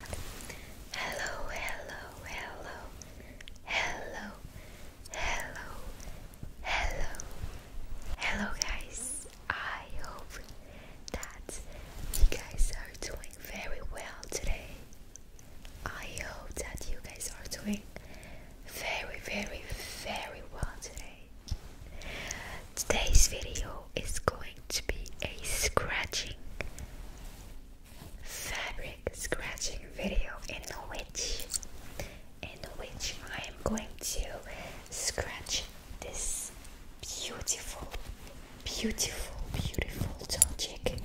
Hello, hello, hello, hello, hello, hello, hello, guys. I hope that you guys are doing very well today. I hope that you guys are doing very, very, very well today. Today's video is going to be a scratching fabric scratching video in which in which I am going to scratch this beautiful beautiful beautiful Dolce Japan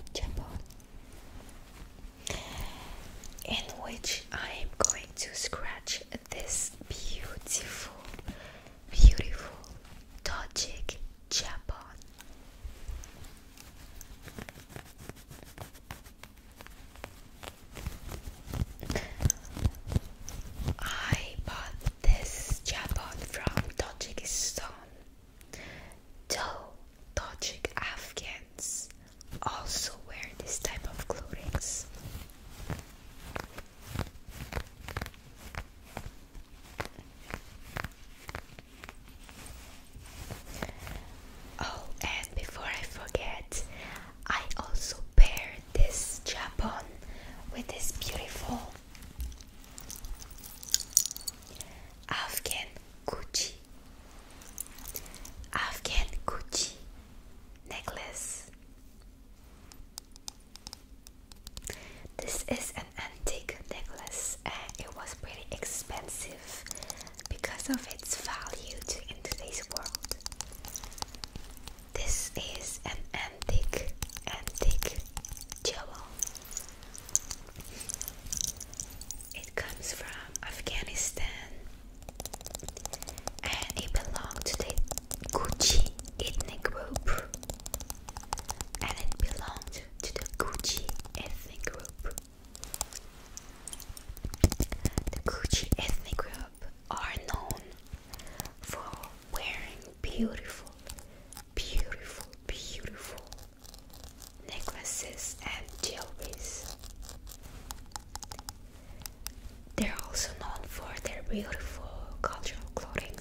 in which I am going to scratch this beautiful beautiful Dolce Japan. I bought this Japan from Tajikistan. Though Tajik Afghans also wear this type of clothing. Oh, and before I forget, I also paired this japon with this beautiful Afghan Gucci Afghan Gucci necklace. This is an antique necklace and it was pretty expensive because of its value to in today's world. This is an antique antique jewel. It comes from Afghanistan and it belonged to the Gucci ethnic group and it belonged to the Gucci ethnic group. The Gucci ethnic group are known for wearing beautiful, beautiful, beautiful necklaces and jewelries. They're also known for their beautiful cultural clothing.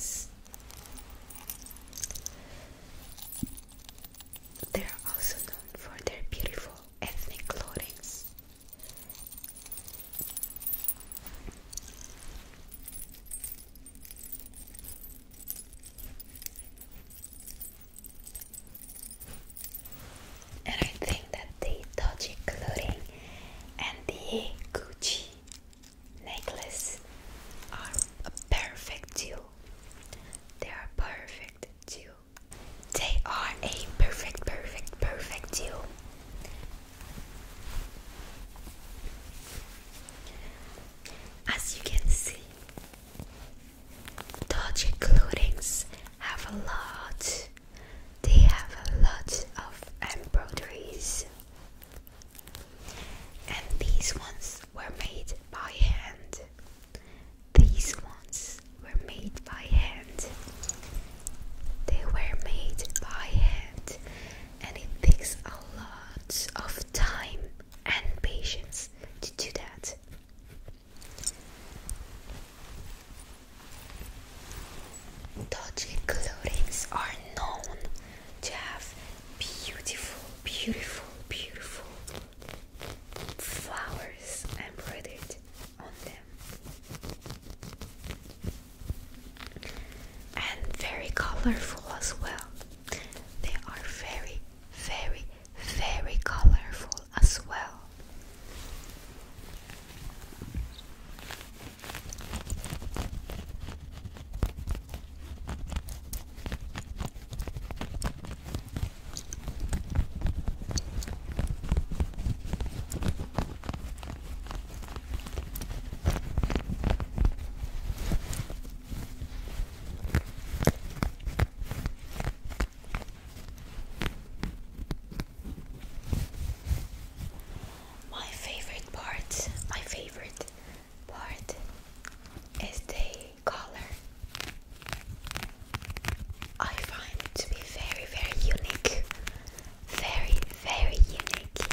They are also known for their beautiful ethnic clothings. And I think that the dodgy clothing and the Gucci necklaces are a perfect duo. They are perfect duo. They are a perfect, perfect, perfect duo. As you can see, dodgy clothings have a lot. They have a lot of embroideries and these ones were made by hand. These ones were made by hand. They were made by hand, and it takes a lot of time and patience to do that. Dodgy clothings are known to have beautiful, beautiful, beautiful flowers embroidered on them, and very colorful as well. They are very, very, very colorful as well. My favorite part, my favorite part is the color. I find to be very, very unique. Very, very unique.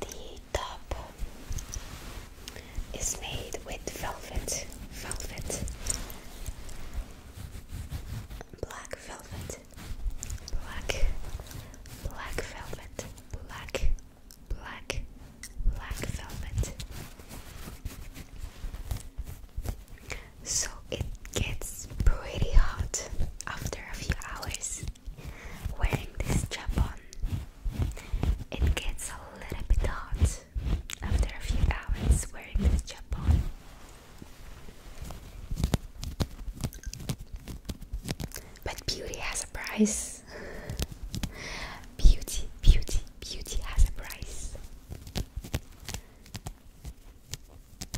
The top is made with velvet, velvet, black velvet, black, black velvet, black, black, black velvet. So it gets pretty hot after a few hours wearing this strap it gets a little bit hot after a few hours wearing this strap But beauty has a price. Beauty, beauty, beauty has a price.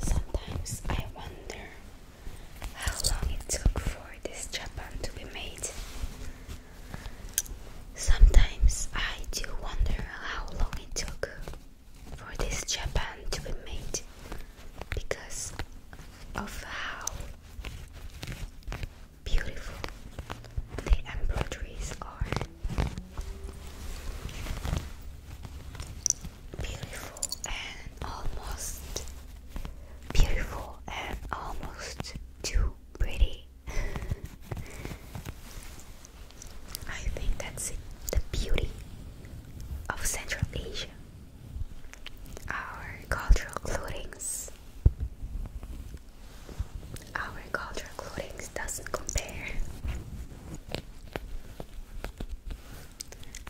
Sometimes I wonder how long it took for this japan to be made. Sometimes I do wonder how long it took for this japan to be made because of how beautiful the embroideries are beautiful and almost beautiful and almost too pretty. I think that's the beauty of Central Asia. Our cultural clothings. Our cultural clothing doesn't compare.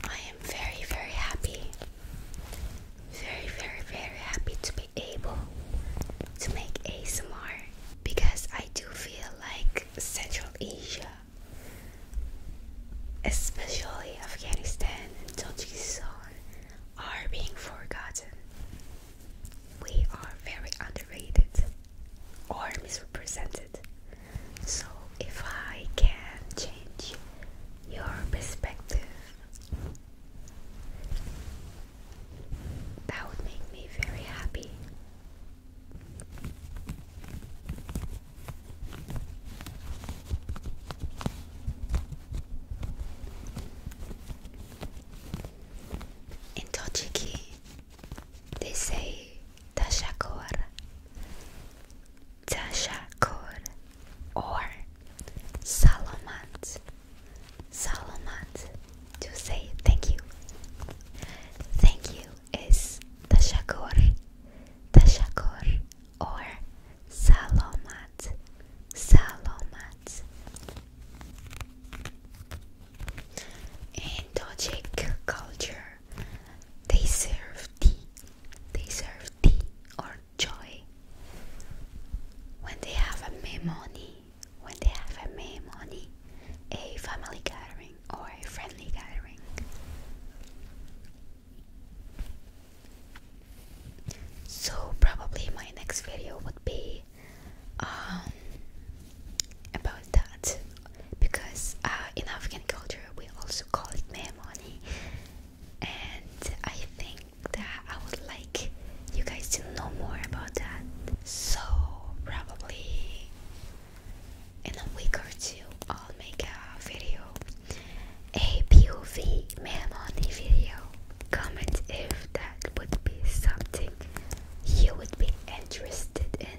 I am very, very happy. Very, very, very happy to be able to make ASMR because I do feel like Central Asia, especially Afghanistan and Tajikistan, are being forgotten. We are very underrated or misrepresented so, if I can change your perspective, that would make me very happy. In Tochiki, they say Tashakoara, Tashakur or Salamat. Salamat to say thank you. Thank you is Tashakur. Tashakur or Salamat. Salamat. In Tajik culture, they serve tea. They serve tea or joy. When they have a memoni, when they have a memoni, a family gathering or a friendly gathering. So probably my next video would be um, about that because uh, in African culture we also call it memoni and I think that I would like you guys to know more about that. So, probably in a week or two, I'll make a video, a POV mail money video. Comment if that would be something you would be interested in.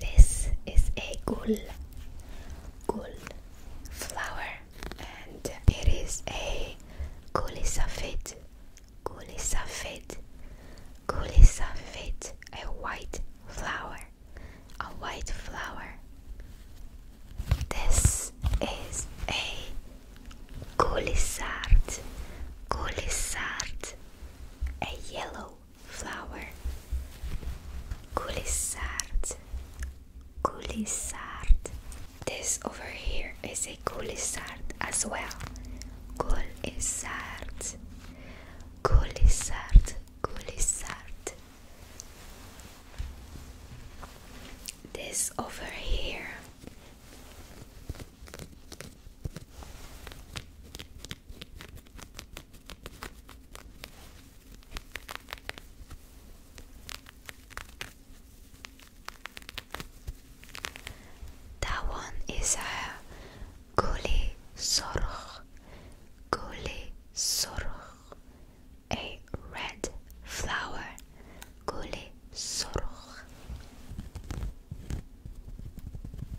This is a gul, gul flower, and it is a gulisafid, gulisafid, gulisafid, a white flower, a white flower. This is a gulisard, gulisard, a yellow flower Coulissard Coulissard This over here is a coulissard as well Coulissard Coulissard Coulissard This over here that one is a guli sorg, guli sorg, a red flower, guli sorg.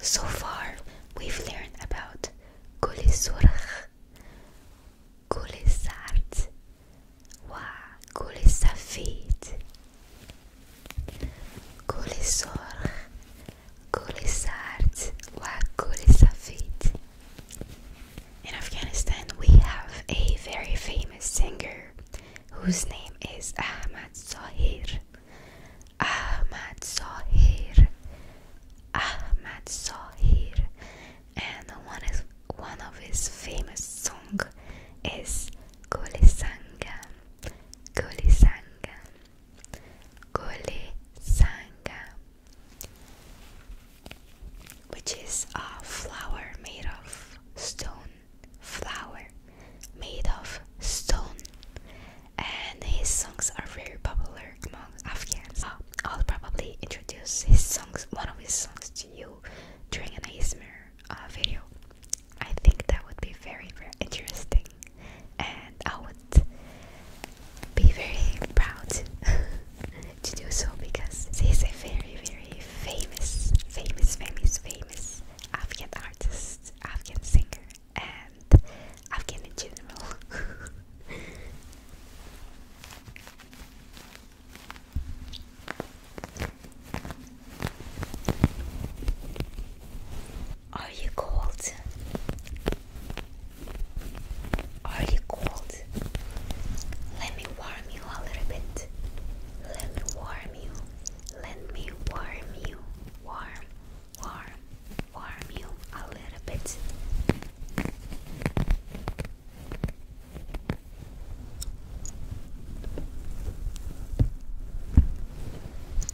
So far, we've learned about كل الصرخ كل السعد وكل السفيد كل الصرخ Guli Sard wa Guli In Afghanistan, we have a very famous singer whose name is Ahmad Zahir. Ahmad Zahir. Ahmad Zahir. And one, is, one of his famous song is Gulisanga. Gulisanga. Gole Sanga, which is a flower made of stone. Flower made of stone, and his songs are very popular among Afghans. I'll probably introduce his songs, one of his songs, to you during an ASMR uh, video. I think that would be very, very interesting and I would be very proud to do so because she is a very, very famous, famous, famous, famous Afghan artist, Afghan singer, and Afghan in general. Are you cold? Are you cold? Let me warm you a little bit. Let me warm you. Let me warm you. Warm, warm, warm you a little bit.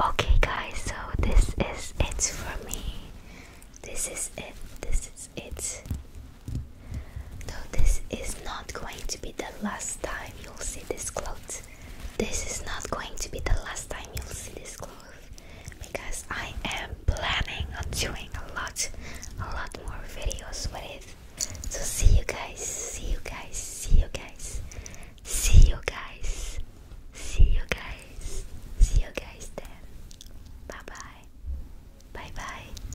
Okay, guys, so this is it for me. This is it. This is that's this is not going to be the last time you'll see this clothes. This is not going to be the last time you'll see this clothes because I am planning on doing a lot, a lot more videos with So see you guys, see you guys, see you guys, see you guys, see you guys, see you guys then. Bye bye. Bye bye.